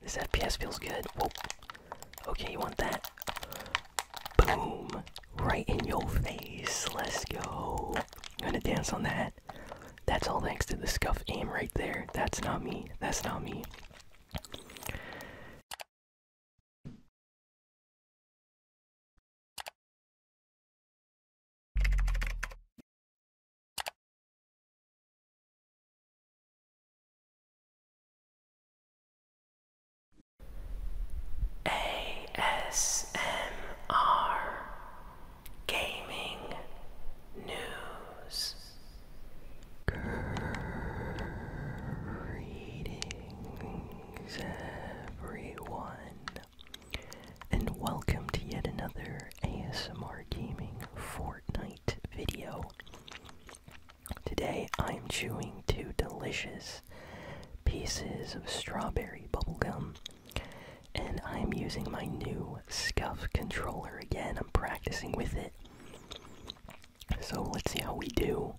This FPS feels good. Whoa. Okay, you want that? Boom! Right in your face. Let's go. gonna dance on that. That's all thanks to the scuff aim right there. That's not me. That's not me. ASMR Gaming News. Greetings, everyone, and welcome to yet another ASMR Gaming Fortnite video. Today I'm chewing two delicious pieces of strawberry bubblegum. And I'm using my new scuff controller again. I'm practicing with it. So let's see how we do.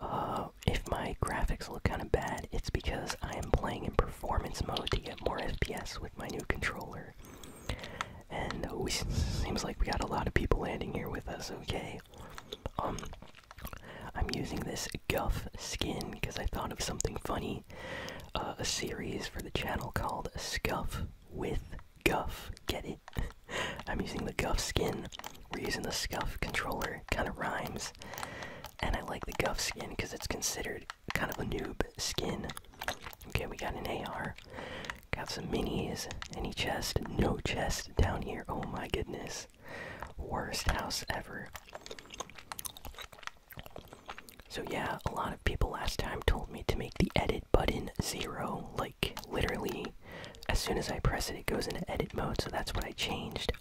Uh, if my graphics look kind of bad, it's because I am playing in performance mode to get more FPS with my new controller. And we seems like we got a lot of people landing here with us. Okay. Um, I'm using this Guff skin because I thought of something funny. Uh, a series for the channel called Scuff with Guff. Get it? I'm using the Guff skin. We're using the Scuff controller. Kind of rhymes. And I like the Guff skin because it's considered kind of a noob skin. Okay, we got an AR. Got some minis. Any chest? No chest down here. Oh my goodness. Worst house ever. So, yeah, a lot of people last time told me to make the edit button zero. Like, literally, as soon as I press it, it goes into edit mode. So, that's what I changed.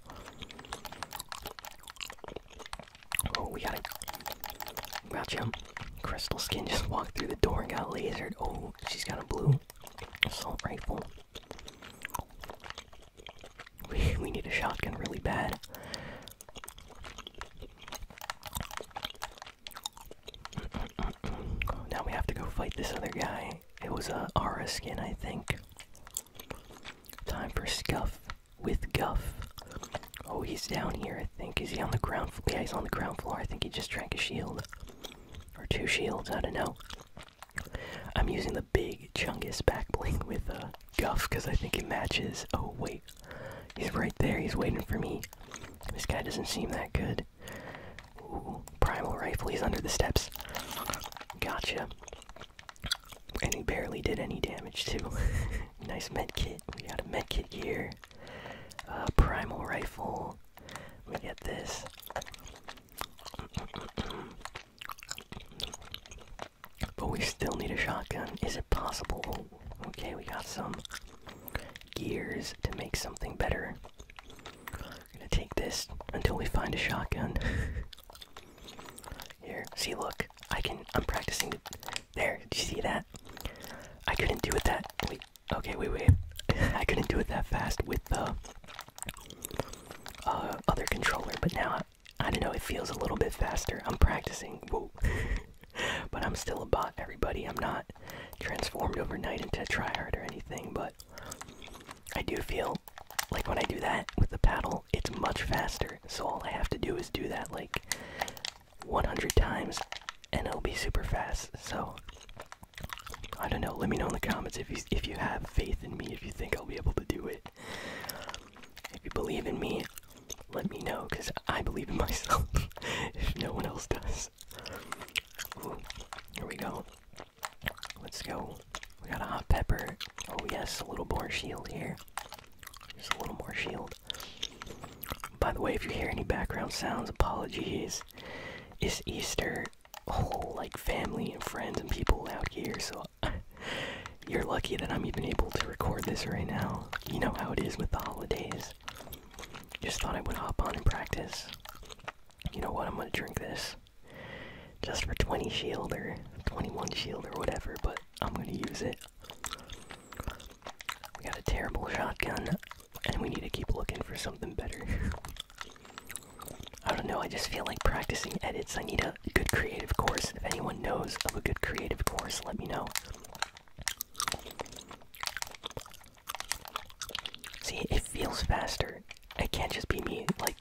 Oh, we got it. Gotcha. Crystal Skin just walked through the door and got lasered. Oh, she's got a blue assault rifle. We, we need a shotgun really bad. Now we have to go fight this other guy. It was a Aura skin, I think. Time for scuff with Guff. Oh, he's down here, I think. Is he on the ground floor? Yeah, on the ground floor. I think he just drank a shield. Or two shields, I don't know. I'm using the big Chungus backbling with uh, Guff because I think it matches. Oh, wait. He's right there. He's waiting for me. This guy doesn't seem that good. primal rifle. He's under the steps. Gotcha. And he barely did any damage, too. nice med kit. We got a med kit here. Uh, primal rifle. We get this. but we still need a shotgun. Is it possible? okay, we got some gears to make something better. We're gonna take this until we find a shotgun. Here, see, look. I can. I'm practicing. There. Do you see that? I couldn't do it that. Wait. Okay. Wait. Wait. I couldn't do it that fast with the uh, other controller, but now I, don't know. It feels a little bit faster. I'm practicing. Whoa. but I'm still a bot, everybody. I'm not transformed overnight into a tryhard or anything, but I do feel like when I do that with the paddle, Oh, it's much faster. So all I have to do is do that like 100 times and it'll be super fast. So I don't know. Let me know in the comments if you if you have faith in me, if you think I'll be able to do it. If you believe in me, let me know cuz I believe in myself if no one else does. here we go. Let's go. We got a hot pepper. Oh yes, a little more shield here. Just a little more shield. By the way, if you hear any background sounds, apologies. It's Easter. Whole oh, like family and friends and people out here, so you're lucky that I'm even able to record this right now. You know how it is with the holidays. Just thought I would hop on and practice. You know what? I'm gonna drink this just for 20 shield or 21 shield or whatever, but I'm gonna use it. We got a terrible shotgun, and we need to keep looking for something better. I don't know, I just feel like practicing edits. I need a good creative course. If anyone knows of a good creative course, let me know. See, it feels faster. It can't just be me, like,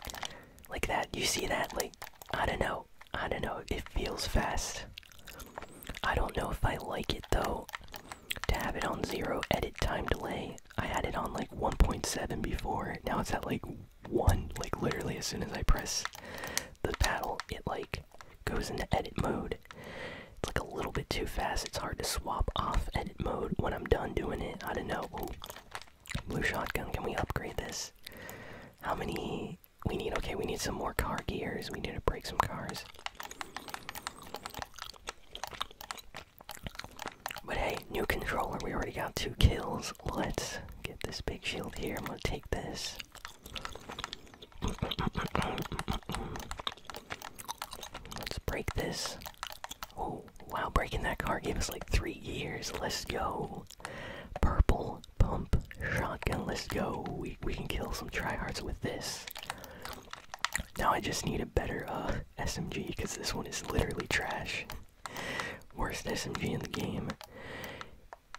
like that. You see that? Like, I don't know. I don't know. It feels fast. I don't know if I like it though. To have it on zero edit time delay. I had it on like 1.7 before. Now it's at like one. Like literally, as soon as I press the paddle, it like goes into edit mode. It's like a little bit too fast. It's hard to swap off edit mode when I'm done doing it. I don't know. Blue shotgun, can we upgrade this? How many we need? Okay, we need some more car gears. We need to break some cars. But hey, new controller. We already got two kills. Let's get this big shield here. I'm gonna take this. Let's break this go. Wow, breaking that car gave us like three years. Let's go. Purple pump shotgun. Let's go. We we can kill some tryhards with this. Now I just need a better uh SMG because this one is literally trash. Worst SMG in the game.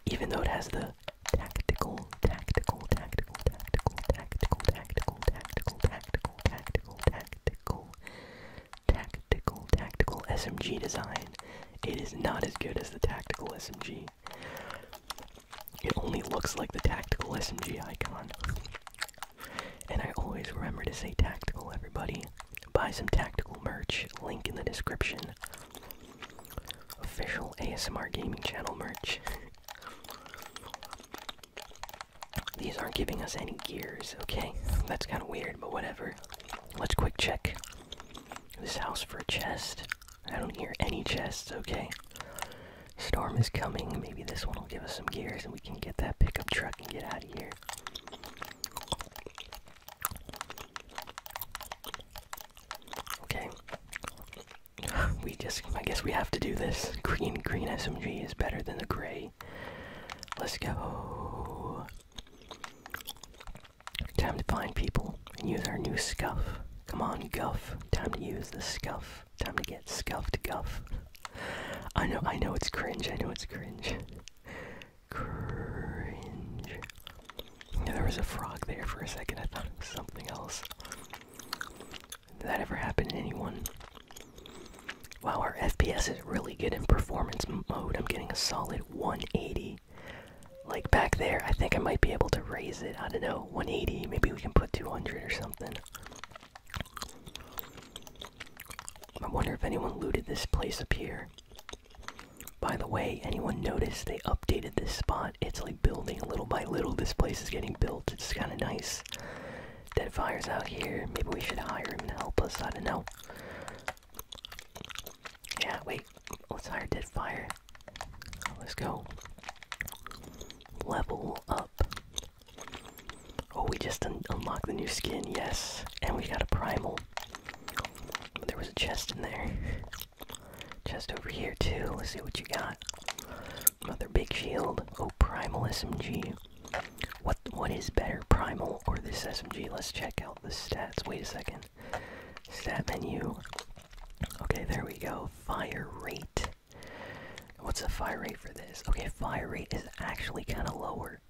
Even though it has the tactical, tactical, tactical, tactical, tactical, tactical, tactical, tactical, tactical, tactical, tactical, tactical SMG design. It is not as good as the tactical SMG. It only looks like the tactical SMG icon. And I always remember to say tactical, everybody. Buy some tactical merch, link in the description. Official ASMR Gaming Channel merch. These aren't giving us any gears, okay? That's kind of weird, but whatever. Let's quick check this house for a chest. I don't hear any chests, okay? Storm is coming. Maybe this one will give us some gears and we can get that pickup truck and get out of here. Okay. We just, I guess we have to do this. Green, green SMG is better than the gray Let's go. Time to find people and use our new scuff. Come on, guff. Time to use the scuff. Time to get scuffed, guff. I know, I know it's cringe. I know it's cringe. Cringe. Yeah, there was a frog there for a second. I thought it was something else. Did that ever happen to anyone? Wow, our FPS is really good in performance mode. I'm getting a solid 180. Like back there, I think I might be able to raise it. I don't know, 180. Maybe we can put 200 or something. I wonder if anyone looted this place up here. By the way, anyone notice they updated this spot? It's like building little by little. This place is getting built. It's kind of nice. Deadfire's out here. Maybe we should hire him to help us. I don't know. Yeah, wait. Let's hire Deadfire. Let's go. Level up. Oh, we just unlocked the new skin, yes. And we got a primal. There was a chest in there. Chest over here, too. Let's see what you got. Another Big Shield. Oh, Primal SMG. What what is better, Primal or this SMG? Let's check out the stats. Wait a second. Stat menu. Okay, there we go. Fire rate. What's the fire rate for this? Okay, fire rate is actually kind of lower.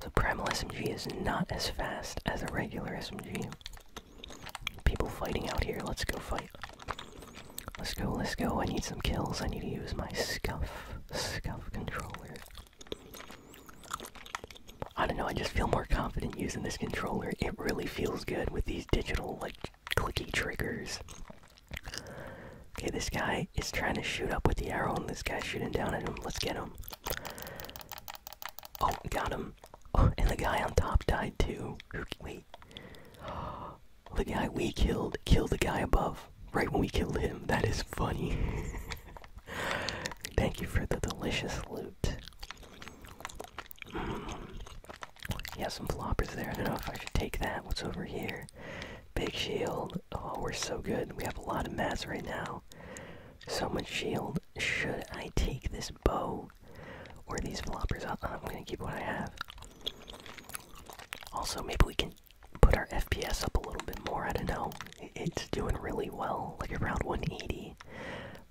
So Primal SMG is not as fast as a regular SMG. People fighting out here. Let's go fight. Let's go, let's go. I need some kills. I need to use my scuff, scuff controller. I don't know, I just feel more confident using this controller. It really feels good with these digital, like, clicky triggers. Okay, this guy is trying to shoot up with the arrow, and this guy's shooting down at him. Let's get him. Oh, got him. Oh, and the guy on top died too. Wait the guy we killed killed the guy above right when we killed him. That is funny. Thank you for the delicious loot. Mm. Yeah, some floppers there. I don't know if I should take that. What's over here? Big shield. Oh, we're so good. We have a lot of mats right now. So much shield. Should I take this bow or these floppers? I'm gonna keep what I have. Also, maybe we can put our FPS up a little bit more. I don't know. It's doing really well, like around 180.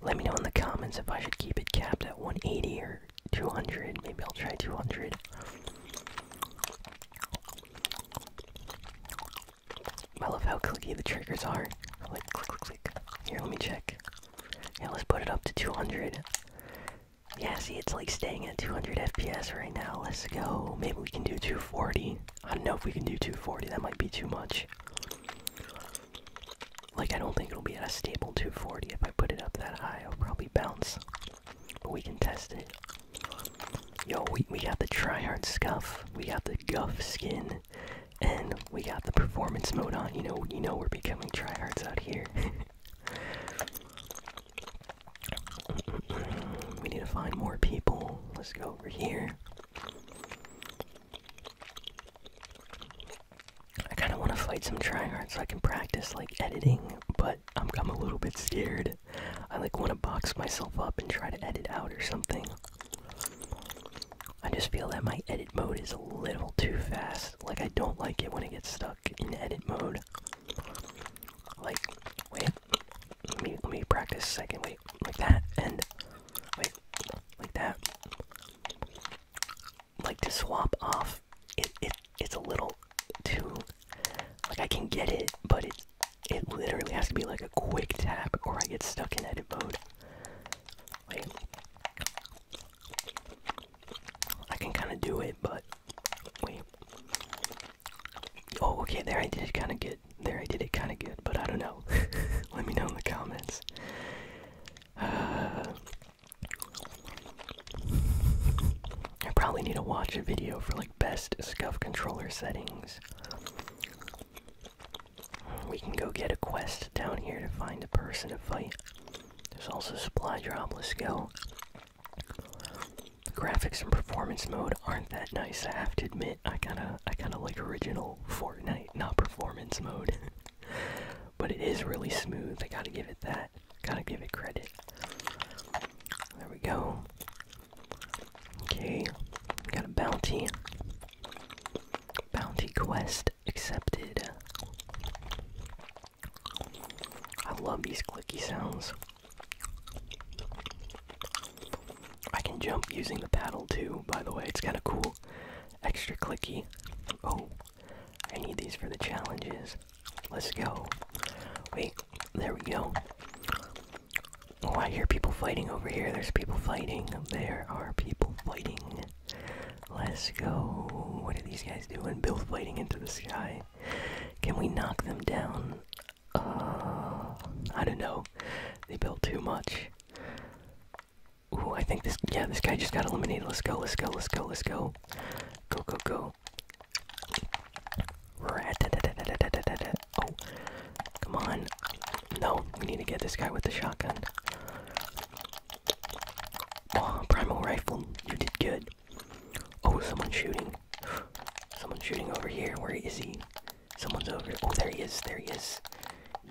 Let me know in the comments if I should keep it capped at 180 or 200. Maybe I'll try 200. I love how clicky the triggers are. Like click, click, click. Here, let me check. Yeah, let's put it up to 200. Yeah, see, it's like staying at 200 FPS right now. Let's go. Maybe we can do 240. I don't know if we can do 240. That might be too much. Like, I don't think it'll be at a stable 240. If I put it up that high, it'll probably bounce. But we can test it. Yo, we, we got the tryhard scuff. We got the guff skin. And we got the performance mode on. You know, you know we're becoming tryhards out here. we need to find more people. Let's go over here. I kind of want to fight some tryhards so I can practice like editing, but I'm, I'm a little bit scared. I like want to box myself up and try to edit out or something. I just feel that my edit mode is a little too fast. Like I don't like it when it gets stuck in edit mode. Like, wait, let me, let me practice second. Wait, like that, and wait, like that. Like to swap off, it, it it's a little too. Like I can get it, but it it literally has to be like a quick tap, or I get stuck in edit mode. Wait. I can kind of do it, but wait. Oh, okay, there I did it kind of good. There I did it kind of good, but I don't know. Let me know in the comments. Uh, I probably need to watch a video for like best scuff controller settings. We can go get a quest down here to find a person to fight. There's also supply dropless let go. graphics and performance mode aren't that nice, I have to admit. I kinda I kinda like original Fortnite, not performance mode. but it is really smooth, I gotta give it that. Gotta give it credit. There we go. Okay. Got a bounty. Bounty quest accepted. I love these clicky sounds. I can jump using the paddle too, by the way, it's kinda cool. Extra clicky. Oh, I need these for the challenges. Let's go. Wait, there we go. Oh, I hear people fighting over here. There's people fighting. There are people fighting. Let's go. What are these guys doing? Building into the sky. Can we knock them down? Uh, I don't know. They built too much. Ooh, I think this. Yeah, this guy just got eliminated. Let's go. Let's go. Let's go. Let's go. Go. Go. Go. Oh, come on. No, we need to get this guy with the shotgun. Oh, primal rifle, you did good. Oh, someone's shooting. Someone's shooting over here. Where is he? Someone's over. Oh, there he is. There he is.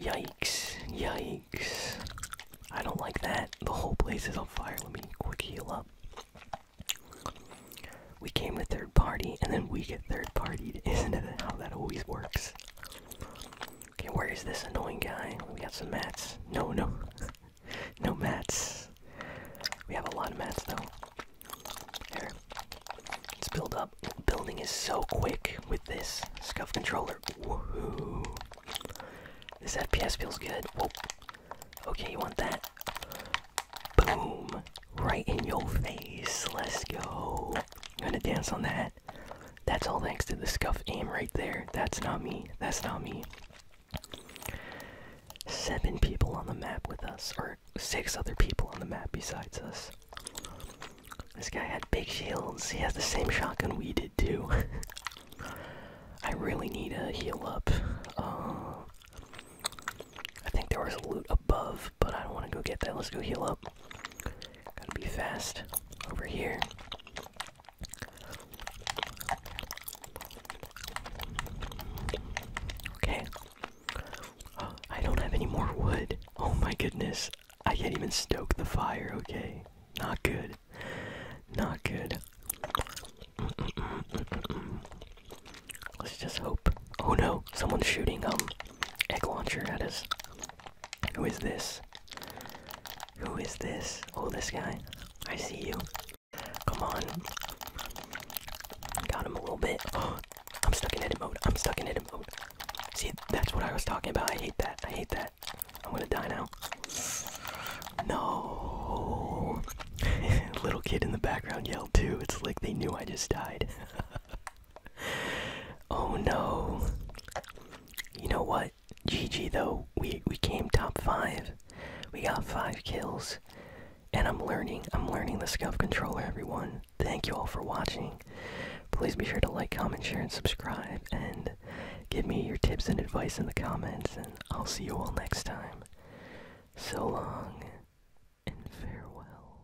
Yikes. Yikes. I don't like that. The whole place is on fire. Let me quick heal up. We came to third party, and then we get third partied. Isn't it how that always works? Okay, where is this annoying guy? We got some mats. No, no. no mats. We have a lot of mats though. Here. Let's build up. Building is so quick with this scuff controller. Woohoo. This FPS feels good. Okay, you want that? Boom. Right in your face. Let's go. I'm gonna dance on that that's all thanks to the scuff aim right there. That's not me. That's not me. Seven people on the map with us, or six other people on the map besides us. This guy had big shields. He has the same shotgun we did too. I really need to heal up. Uh, I think there was loot above, but I don't want to go get that. Let's go heal up. Gotta be fast over here. Okay. Oh, I don't have any more wood. Oh my goodness. I can't even stoke the fire, okay? Not good. Not good. Let's just hope. Oh no, someone's shooting a um, egg launcher at us. Who is this? Who is this? Oh, this guy. I see you. Come on. Got him a little bit. I'm stuck in edit mode. I'm stuck in edit mode. See, that's what I was talking about. I hate that. I hate that. I'm gonna die now. No. Little kid in the background yelled too. It's like they knew I just died. oh no. You know what? GG though. We we came top 5. We got 5 kills. And I'm learning. I'm learning the scuff controller, everyone. Thank you all for watching. Please be sure to like, comment, share, and subscribe. And give me your tips and advice in the comments. And I'll see you all next time. So long and farewell.